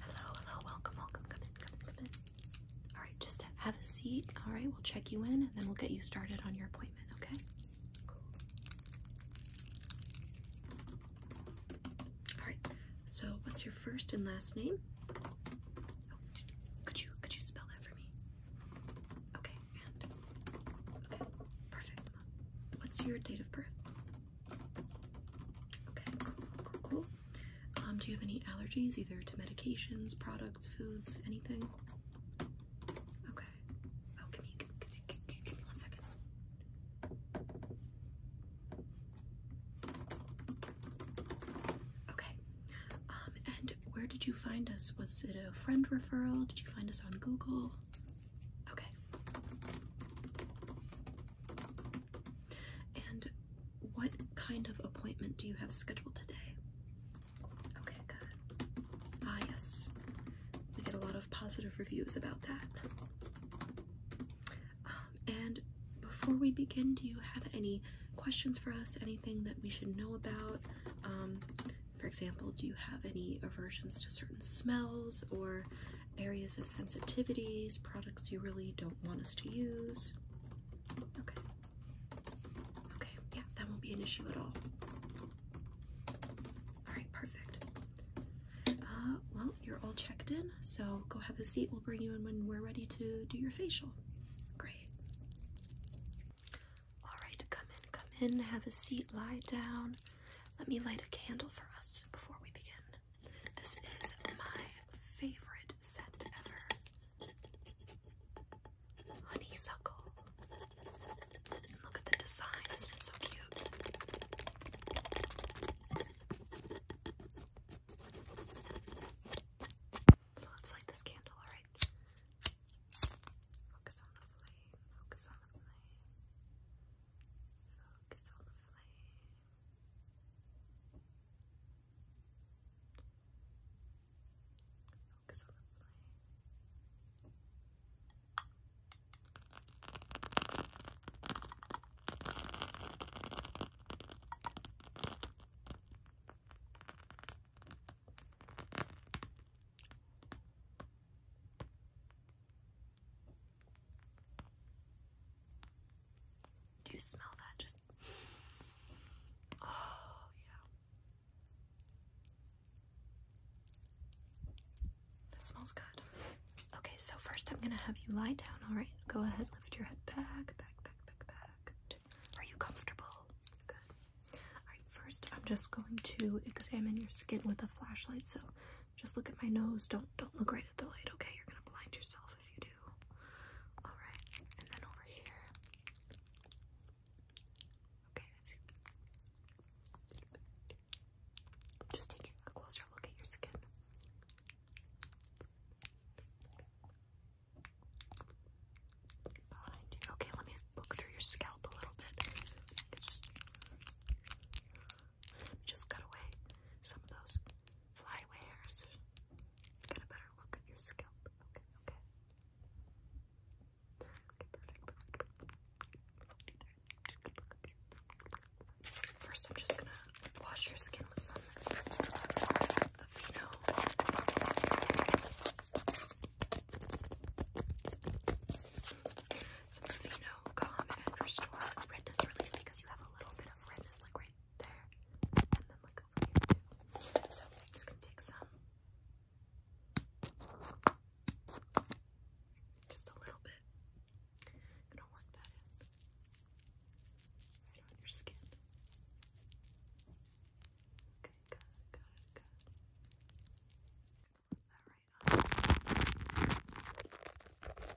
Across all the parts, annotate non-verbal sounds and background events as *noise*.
Hello, hello, welcome, welcome, come in, come in, come in. All right, just have a seat. All right, we'll check you in and then we'll get you started on your appointment okay? Cool. Alright, so what's your first and last name? Oh, could you could you spell that for me? Okay, and okay, perfect. What's your date of birth? Okay, cool, cool. Um, do you have any allergies either to medications, products, foods, anything? Okay. Oh, give me, give, give, give, me one second. Okay. Um, and where did you find us? Was it a friend referral? Did you find us on Google? Okay. And what kind of appointment do you have scheduled today? Okay, good. Ah, yes. We get a lot of positive reviews about that. Um, and before we begin, do you have any questions for us? Anything that we should know about? Um, for example, do you have any aversions to certain smells or areas of sensitivities, products you really don't want us to use? Okay. Okay, yeah, that won't be an issue at all. Alright, perfect. Uh, well, you're all checked in, so go have a seat. We'll bring you in when we're ready to do your facial. Great. Alright, come in, come in, have a seat, lie down. Let me light a candle for us before we begin. This is my favorite scent ever honeysuckle. And look at the design, isn't it so cute? So let's light this candle, alright? Focus on the flame, focus on the flame, focus on the flame. Do you smell that? Just Oh, yeah. That smells good. Okay, so first I'm gonna have you lie down, alright? Go ahead, lift your head back, back, back, back, back. Are you comfortable? Good. Alright, first I'm just going to examine your skin with a flashlight, so just look at my nose. Don't don't look right at the light, okay? You're gonna blind yourself if you do. Alright, and then over here. Okay, Just taking a closer look at your skin. Okay, let me look through your scalp a little bit. Just, cut away some of those flyaway hairs. Get a better look at your scalp. Okay, okay. First, I'm just gonna wash your skin with some Aveeno. Some Aveeno Calm and Restore Redness Relief because you have a little bit of redness like right there and then like so I'm just gonna take some, just a little bit. gonna work that in right on your skin. Okay, good, good, good. Put that right on.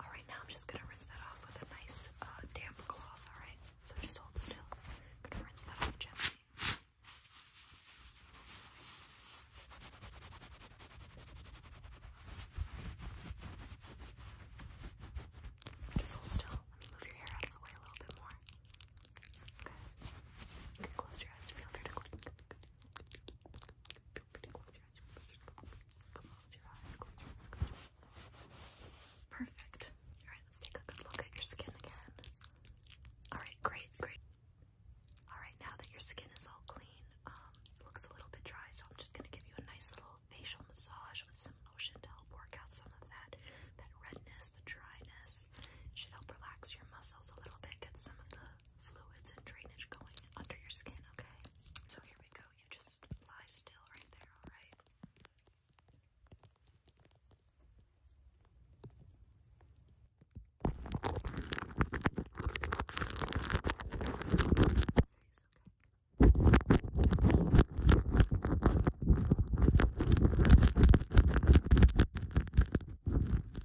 Alright, now I'm just gonna rinse that off with a nice uh, damp cloth, alright? So just hold still. gonna rinse that off gently. Just hold still. move your hair out of the way a little bit more. Okay. You can close your eyes. Feel free to close. Perfect. Alright, let's take a good look at your skin again. Alright, great, great. Alright, now that your skin is all clean, um, looks a little bit dry, so I'm just gonna give you a nice little facial massage with some lotion to help work out some of that that redness, the dryness. should help relax your muscles a little bit, get some of the fluids and drainage going under your skin, okay? So here we go. You just lie still right there, alright?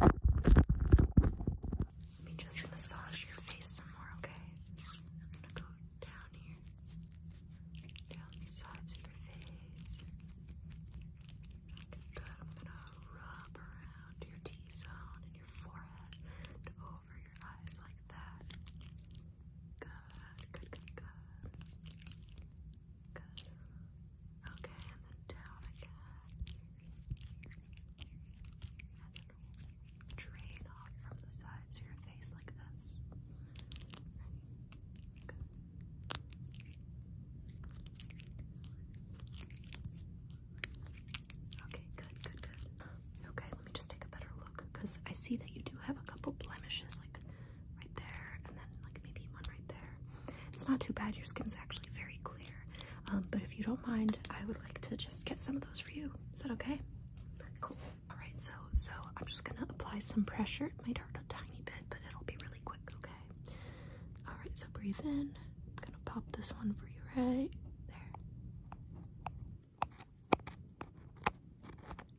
Let me just massage your face some more, okay? I'm gonna go down here, down the sides of your face. good. I'm gonna rub around your T zone and your forehead over your eyes like that. Good, good, good, good. Good. Okay, and then down again. And then drain off from the sides of your face like this. Okay, good, good, good. Okay, let me just take a better look because I see that you do have a couple blemishes, like right there, and then like maybe one right there. It's not too bad. Your skin is actually very clear. Um, but if you don't mind, I would like to just get some of those for you. Is that okay? Cool. All right. So, so I'm just gonna apply some pressure. It might hurt a tiny bit, but it'll be really quick. Okay. All right. So breathe in. I'm gonna pop this one for you right there.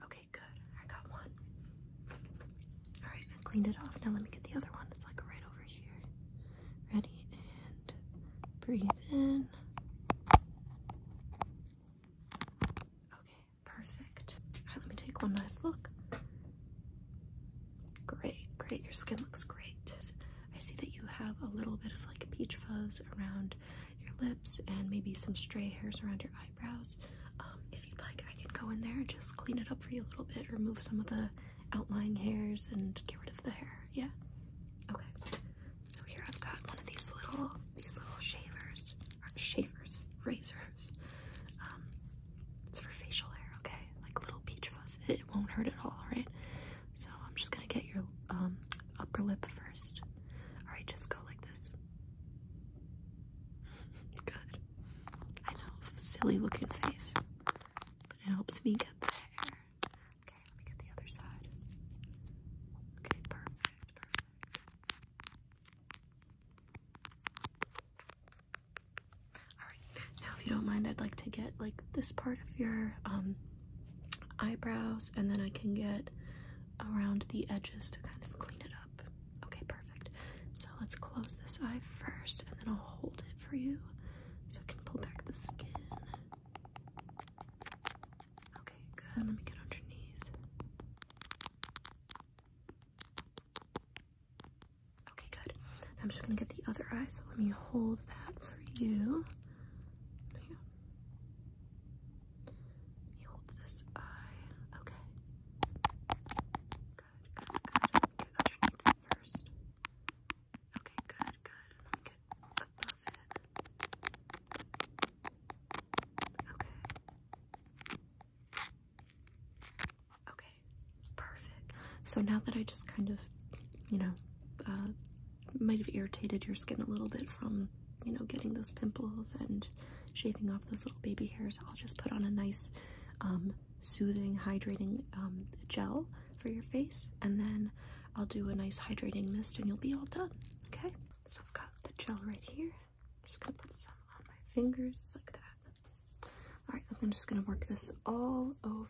Okay. Good. I got one. Alright, I cleaned it off. Now let me get the other one. It's like right over here. Ready? And breathe in. Okay, perfect. Alright, let me take one last look. Great, great. Your skin looks great. I see that you have a little bit of like peach fuzz around your lips and maybe some stray hairs around your eyebrows. Um, if you'd like, I can go in there and just clean it up for you a little bit, remove some of the outlying hairs and get rid of the hair. Yeah. Okay. So here I've got one of these little these little shavers shavers razors. Um, it's for facial hair. Okay, like little peach fuzz. It won't hurt at all, right? So I'm just gonna get your um, upper lip first. All right, just go like this. *laughs* Good. I know, silly looking face. But it helps me get the hair. Okay, let me get the other side. Okay, perfect, perfect. Alright, now if you don't mind, I'd like to get like this part of your um eyebrows and then I can get around the edges to kind of clean it up. Okay, perfect. So let's close this eye first and then I'll hold it for you so I can pull back the skin. Okay, good. Let me get underneath. Okay, good. I'm just gonna get the other eye, so let me hold that for you. you hold this eye. Okay. Good, good, good underneath it first. Okay, good, good. And above it. Okay. Okay, perfect. So now that I just kind of, you know, uh, might have irritated your skin a little bit from, you know, getting those pimples and shaving off those little baby hairs, I'll just put on a nice um, soothing, hydrating um, gel for your face, and then I'll do a nice hydrating mist, and you'll be all done. Okay. So I've got the gel right here. just gonna put some on my fingers like that. All right. I'm just gonna work this all over.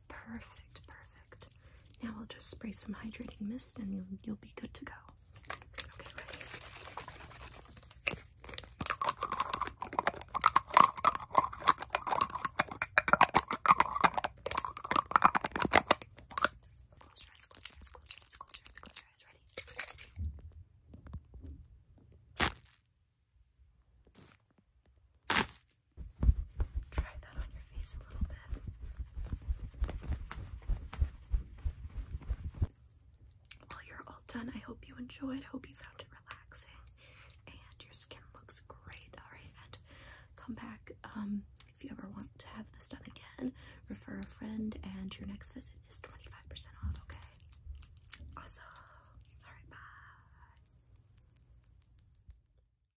Perfect, perfect. Now i will just spray some hydrating mist and you'll, you'll be good to go. Okay, ready? Try that on your face a little bit. Well, you're all done. I hope you enjoyed. I hope you found it relaxing and your skin looks great. Alright, and come back um, if you ever want to have this done again. Refer a friend, and your next visit is 25% off, okay? Awesome. Alright, bye.